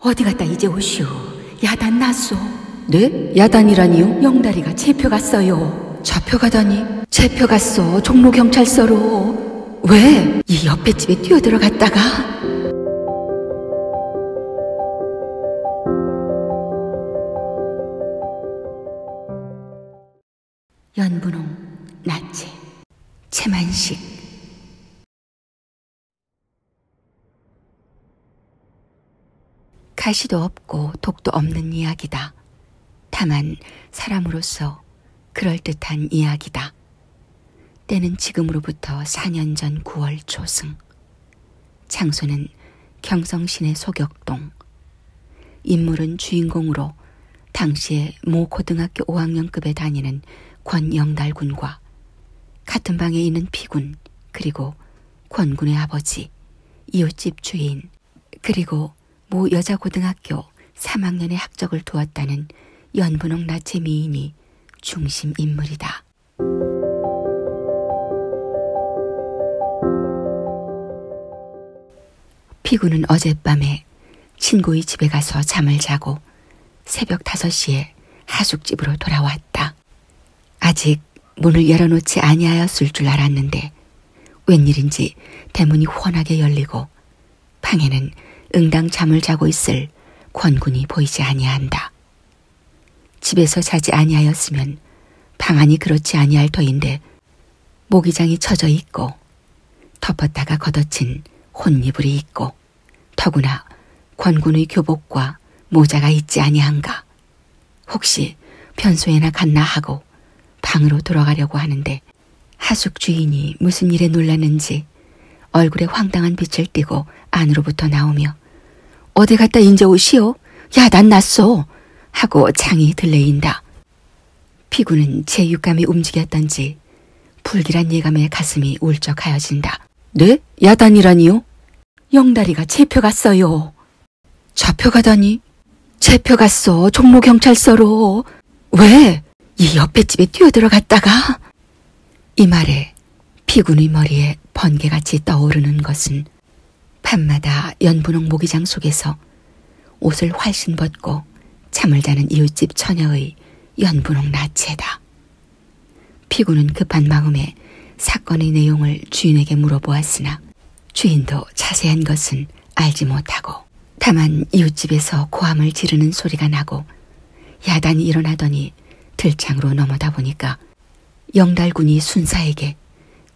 어디 갔다 이제 오시오. 야단 났소. 네? 야단이라니요? 영다리가 체표갔어요. 잡혀가다니? 체표갔어. 종로경찰서로. 왜? 이 옆에 집에 뛰어들어갔다가 연분홍 나체 채만식 가시도 없고 독도 없는 이야기다. 다만 사람으로서 그럴듯한 이야기다. 때는 지금으로부터 4년 전 9월 초승. 장소는 경성시내 소격동. 인물은 주인공으로 당시에 모 고등학교 5학년급에 다니는 권영달 군과 같은 방에 있는 피군 그리고 권군의 아버지 이웃집 주인 그리고 모 여자고등학교 3학년의 학적을 두었다는 연분홍 나체 미인이 중심 인물이다. 피구는 어젯밤에 친구의 집에 가서 잠을 자고 새벽 5시에 하숙집으로 돌아왔다. 아직 문을 열어놓지 아니하였을 줄 알았는데 웬일인지 대문이 훤하게 열리고 방에는 응당 잠을 자고 있을 권군이 보이지 아니한다. 집에서 자지 아니하였으면 방안이 그렇지 아니할 터인데 모기장이 쳐져 있고 덮었다가 걷어친 혼이불이 있고 더구나 권군의 교복과 모자가 있지 아니한가 혹시 변소에나 갔나 하고 방으로 돌아가려고 하는데 하숙 주인이 무슨 일에 놀랐는지 얼굴에 황당한 빛을 띠고 안으로부터 나오며 하며 어디 갔다 인제 오시오? 야, 난 났소. 하고 장이 들레인다. 피구는 제 육감이 움직였던지 불길한 예감에 가슴이 울적하여진다. 네? 야단이라니요? 영다리가 채펴갔어요. 잡혀가다니? 채펴갔어. 종로경찰서로. 왜? 이 옆에 집에 뛰어들어갔다가? 이 말에 피구의 머리에 번개같이 떠오르는 것은 밤마다 연분홍 모기장 속에서 옷을 훨씬 벗고 잠을 자는 이웃집 처녀의 연분홍 나체다. 피구는 급한 마음에 사건의 내용을 주인에게 물어보았으나 주인도 자세한 것은 알지 못하고 다만 이웃집에서 고함을 지르는 소리가 나고 야단이 일어나더니 들창으로 넘어다 보니까 영달군이 순사에게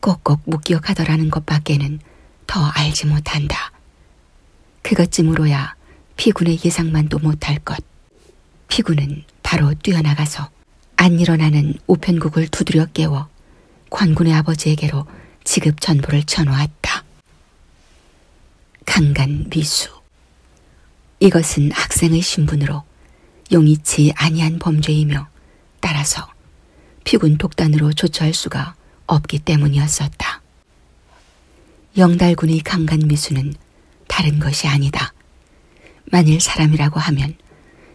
꼭꼭 묶여 가더라는 것밖에는 더 알지 못한다. 그것쯤으로야 피군의 예상만도 못할 것. 피군은 바로 뛰어나가서 안 일어나는 우편국을 두드려 깨워 관군의 아버지에게로 지급 전보를 쳐놓았다. 강간 미수 이것은 학생의 신분으로 용의치 아니한 범죄이며 따라서 피군 독단으로 조처할 수가 없기 때문이었었다. 영달군의 강간 미수는 다른 것이 아니다. 만일 사람이라고 하면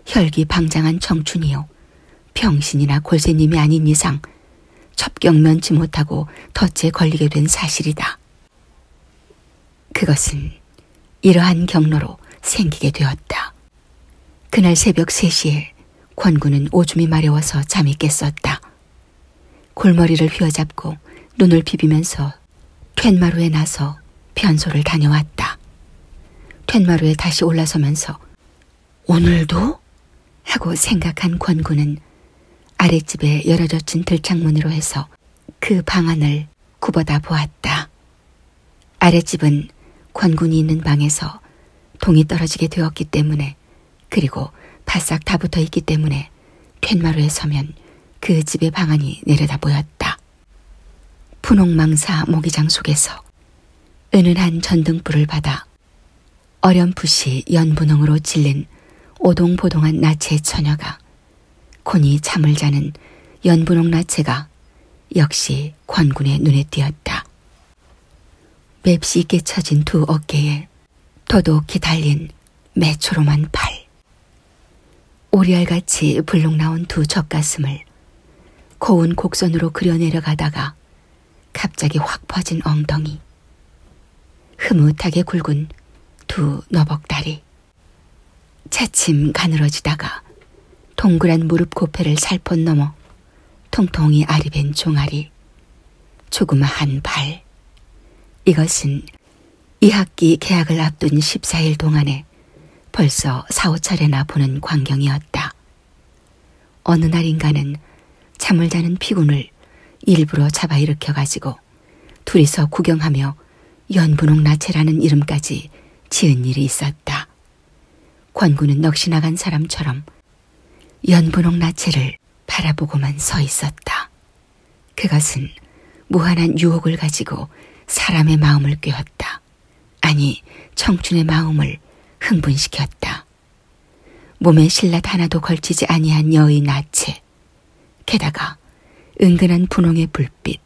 혈기 방장한 청춘이요 병신이나 골세님이 아닌 이상 첩경 면치 못하고 덫에 걸리게 된 사실이다. 그것은 이러한 경로로 생기게 되었다. 그날 새벽 3시에 권구는 오줌이 마려워서 잠이 깼었다. 골머리를 휘어잡고 눈을 비비면서 툇마루에 나서 변소를 다녀왔다. 툇마루에 다시 올라서면서 오늘도? 하고 생각한 권구는 아랫집에 열어젖힌 들창문으로 해서 그 방안을 문을 굽어다 보았다. 아랫집은 관군이 있는 방에서 동이 떨어지게 되었기 때문에 그리고 바싹 다 붙어 있기 때문에 팻마루에 서면 그 집의 방안이 내려다 보였다. 분홍망사 모기장 속에서 은은한 전등불을 받아 어렴풋이 연분홍으로 질린 오동보동한 나체의 처녀가 콘이 잠을 자는 연분홍 나체가 역시 관군의 눈에 띄었다. 맵시 있게 처진 두 어깨에 더독히 달린 매초롬한 팔. 오리알같이 불룩 나온 두 젖가슴을 고운 곡선으로 그려내려가다가 갑자기 확 퍼진 엉덩이. 흐뭇하게 굵은 두 너벅다리. 차츰 가늘어지다가 동그란 무릎 고페를 살포 넘어 통통이 아리벤 종아리, 조그마한 발. 이것은 2학기 개학을 앞둔 14일 동안에 벌써 4, 5차례나 보는 광경이었다. 어느 날인가는 잠을 자는 피군을 일부러 잡아 일으켜 가지고 둘이서 구경하며 연분홍 나체라는 이름까지 지은 일이 있었다. 권구는 넋이 나간 사람처럼 연분홍 나체를 바라보고만 서 있었다. 그것은 무한한 유혹을 가지고 사람의 마음을 꿰었다. 아니, 청춘의 마음을 흥분시켰다. 몸에 신라 하나도 걸치지 아니한 여의 나체. 해. 게다가 은근한 분홍의 불빛.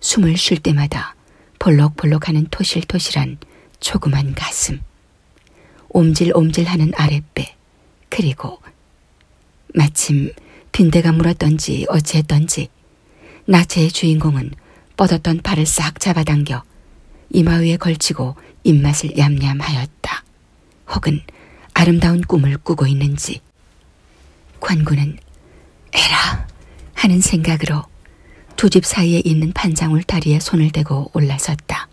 숨을 쉴 때마다 벌럭벌럭하는 토실토실한 조그만 가슴. 옴질옴질하는 아랫배. 그리고 마침 빈대가 물었던지 어찌했던지 나체의 주인공은 뻗었던 팔을 싹 잡아당겨 이마 위에 걸치고 입맛을 얌얌하였다. 혹은 아름다운 꿈을 꾸고 있는지. 관군은 에라 하는 생각으로 두 집 사이에 있는 판장울 다리에 손을 대고 올라섰다.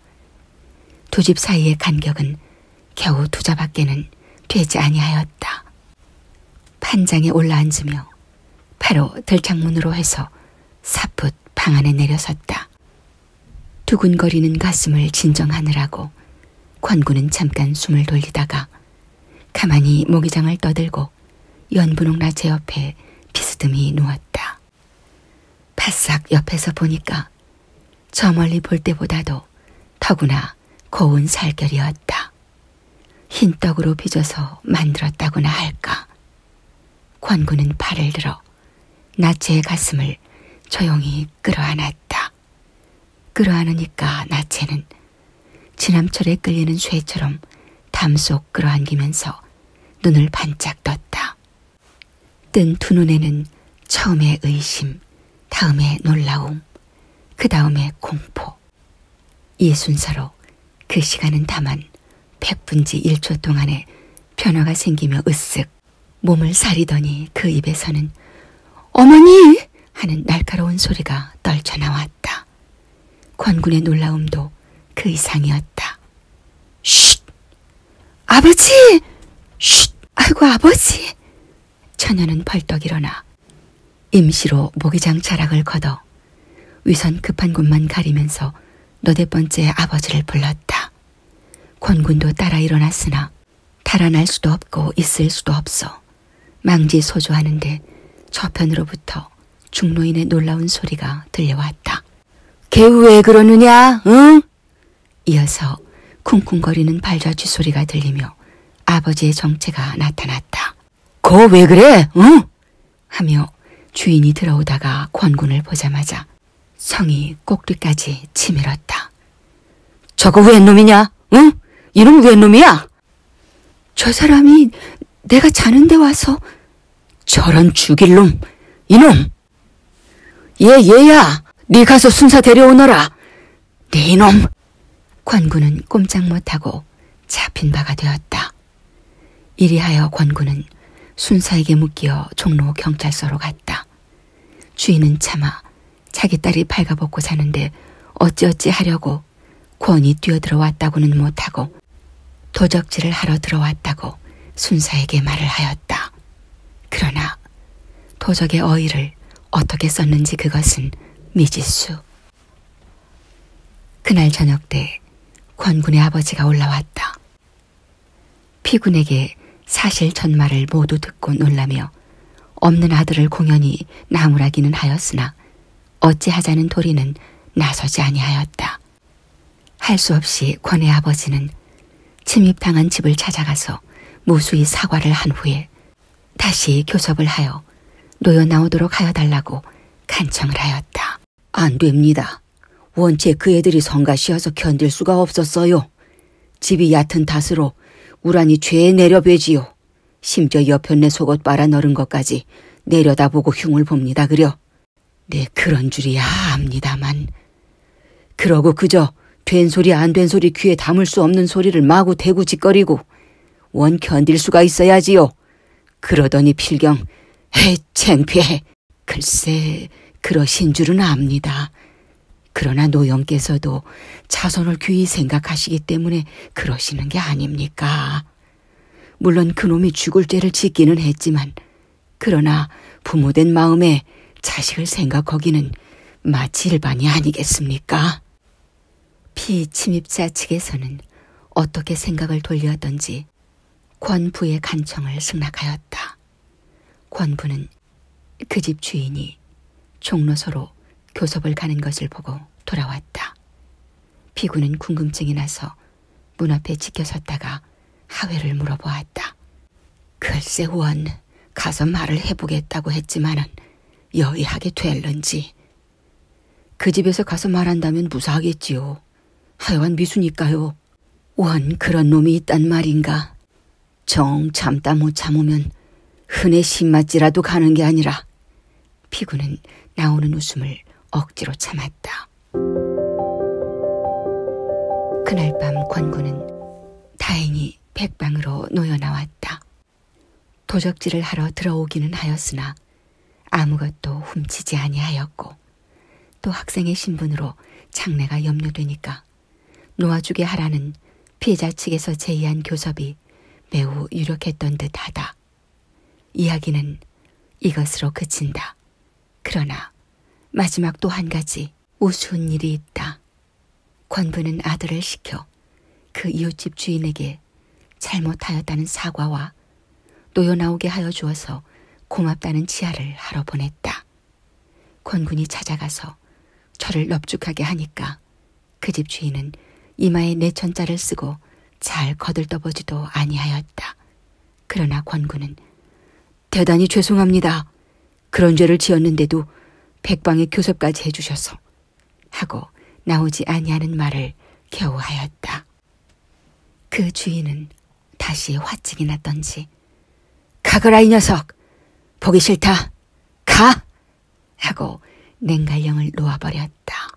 두 집 사이의 간격은 겨우 두자밖에는 되지 아니하였다. 판장에 올라앉으며 바로 들창문으로 해서 사풋 방 안에 내려섰다. 두근거리는 가슴을 진정하느라고 관군은 잠깐 숨을 돌리다가 가만히 모기장을 떠들고 연분홍 라제 옆에 비스듬히 누웠다. 바싹 옆에서 보니까 저 멀리 볼 때보다도 더구나 고운 살결이었다. 흰떡으로 빚어서 만들었다구나 할까. 관군은 팔을 들어 나체의 가슴을 조용히 끌어안았다. 끌어안으니까 나체는 지남철에 끌리는 쇠처럼 담속 끌어안기면서 눈을 반짝 떴다. 뜬 두 눈에는 처음에 의심, 다음에 놀라움, 그 다음에 공포. 이 순서로 그 시간은 다만 백분지 1초 동안에 변화가 생기며 으쓱 몸을 사리더니 그 입에서는 어머니! 하는 날카로운 소리가 떨쳐나왔다. 권군의 놀라움도 그 이상이었다. 쉿! 아버지! 쉿! 아이고 아버지! 처녀는 벌떡 일어나 임시로 모기장 자락을 걷어 위선 급한 곳만 가리면서 너네 번째 아버지를 불렀다. 권군도 따라 일어났으나 달아날 수도 없고 있을 수도 없어 망지 소조하는데 저편으로부터 중노인의 놀라운 소리가 들려왔다. 개우 왜 그러느냐? 응? 이어서 쿵쿵거리는 발자취 소리가 들리며 아버지의 정체가 나타났다. 거 왜 그래? 응? 하며 주인이 들어오다가 권군을 보자마자 성이 꼭두까지 치밀었다. 저거 웬 놈이냐? 응? 이놈 웬 놈이야? 저 사람이 내가 자는데 와서 저런 죽일 놈, 이놈. 얘 얘야, 네 가서 순사 데려오너라. 네 이놈. 관군은 꼼짝 못하고 잡힌 바가 되었다. 이리하여 권구는 순사에게 묶여 종로 경찰서로 갔다. 주인은 차마 자기 딸이 발가벗고 사는데 어찌어찌 하려고 권이 뛰어들어왔다고는 못하고 도적질을 하러 들어왔다고 순사에게 말을 하였다. 그러나 도적의 어휘를 어떻게 썼는지 그것은 미지수. 그날 저녁 때 권군의 아버지가 올라왔다. 피군에게 사실 전말을 모두 듣고 놀라며 없는 아들을 공연히 나무라기는 하였으나 어찌하자는 도리는 나서지 아니하였다. 할 수 없이 권의 아버지는 침입당한 집을 찾아가서 무수히 사과를 한 후에 다시 교섭을 하여 놓여 나오도록 하여 달라고 간청을 하였다. 안 됩니다. 원체 그 애들이 성가시어서 견딜 수가 없었어요. 집이 얕은 탓으로 우란이 죄에 내려배지요. 심지어 여편네 속옷 빨아 널은 것까지 내려다보고 흉을 봅니다 그려. 네 그런 줄이야 압니다만. 그러고 그저 된 소리 안 된 소리 귀에 담을 수 없는 소리를 마구 대구 짓거리고 원 견딜 수가 있어야지요. 하고 그러더니 필경 헤 창피해 글쎄 그러신 줄은 압니다. 그러나 노영께서도 자손을 귀히 생각하시기 때문에 그러시는 게 아닙니까. 물론 그놈이 죽을 죄를 짓기는 했지만 그러나 부모된 마음에 자식을 생각하기는 마치 일반이 아니겠습니까? 피침입자 측에서는 어떻게 생각을 돌려왔던지 권부의 간청을 승낙하였다. 권부는 그 집 주인이 종로서로 교섭을 가는 것을 보고 돌아왔다. 피구는 궁금증이 나서 문 앞에 지켜섰다가 하회를 물어보았다. 글쎄 원, 가서 말을 해보겠다고 했지만은 여의하게 될런지 그 집에서 가서 말한다면 무사하겠지요. 하여간 미수니까요. 원 그런 놈이 있단 말인가. 정 참다 못 참으면 흔해 신맛지라도 가는 게 아니라 피구는 나오는 웃음을 억지로 참았다. 그날 밤 권구는 다행히 백방으로 놓여 나왔다. 도적질을 하러 들어오기는 하였으나 아무것도 훔치지 아니하였고 또 학생의 신분으로 장래가 염려되니까 놓아주게 하라는 피해자 측에서 제의한 교섭이 매우 유력했던 듯하다. 이야기는 이것으로 그친다. 그러나 마지막 또 한 가지 우스운 일이 있다. 관부는 아들을 시켜 그 이웃집 주인에게 이르되 잘못하였다는 사과와 놓여 나오게 하여 주어서 고맙다는 치아를 하러 보냈다. 권군이 찾아가서 저를 넙죽하게 하니까 그 집 주인은 이마에 내 천자를 쓰고 잘 거들떠보지도 아니하였다. 그러나 권군은 대단히 죄송합니다. 그런 죄를 지었는데도 백방의 교섭까지 해주셔서 하고 나오지 아니하는 말을 겨우 하였다. 그 주인은 다시 화증이 났던지 가거라 이 녀석 보기 싫다 가 하고 냉갈령을 놓아버렸다.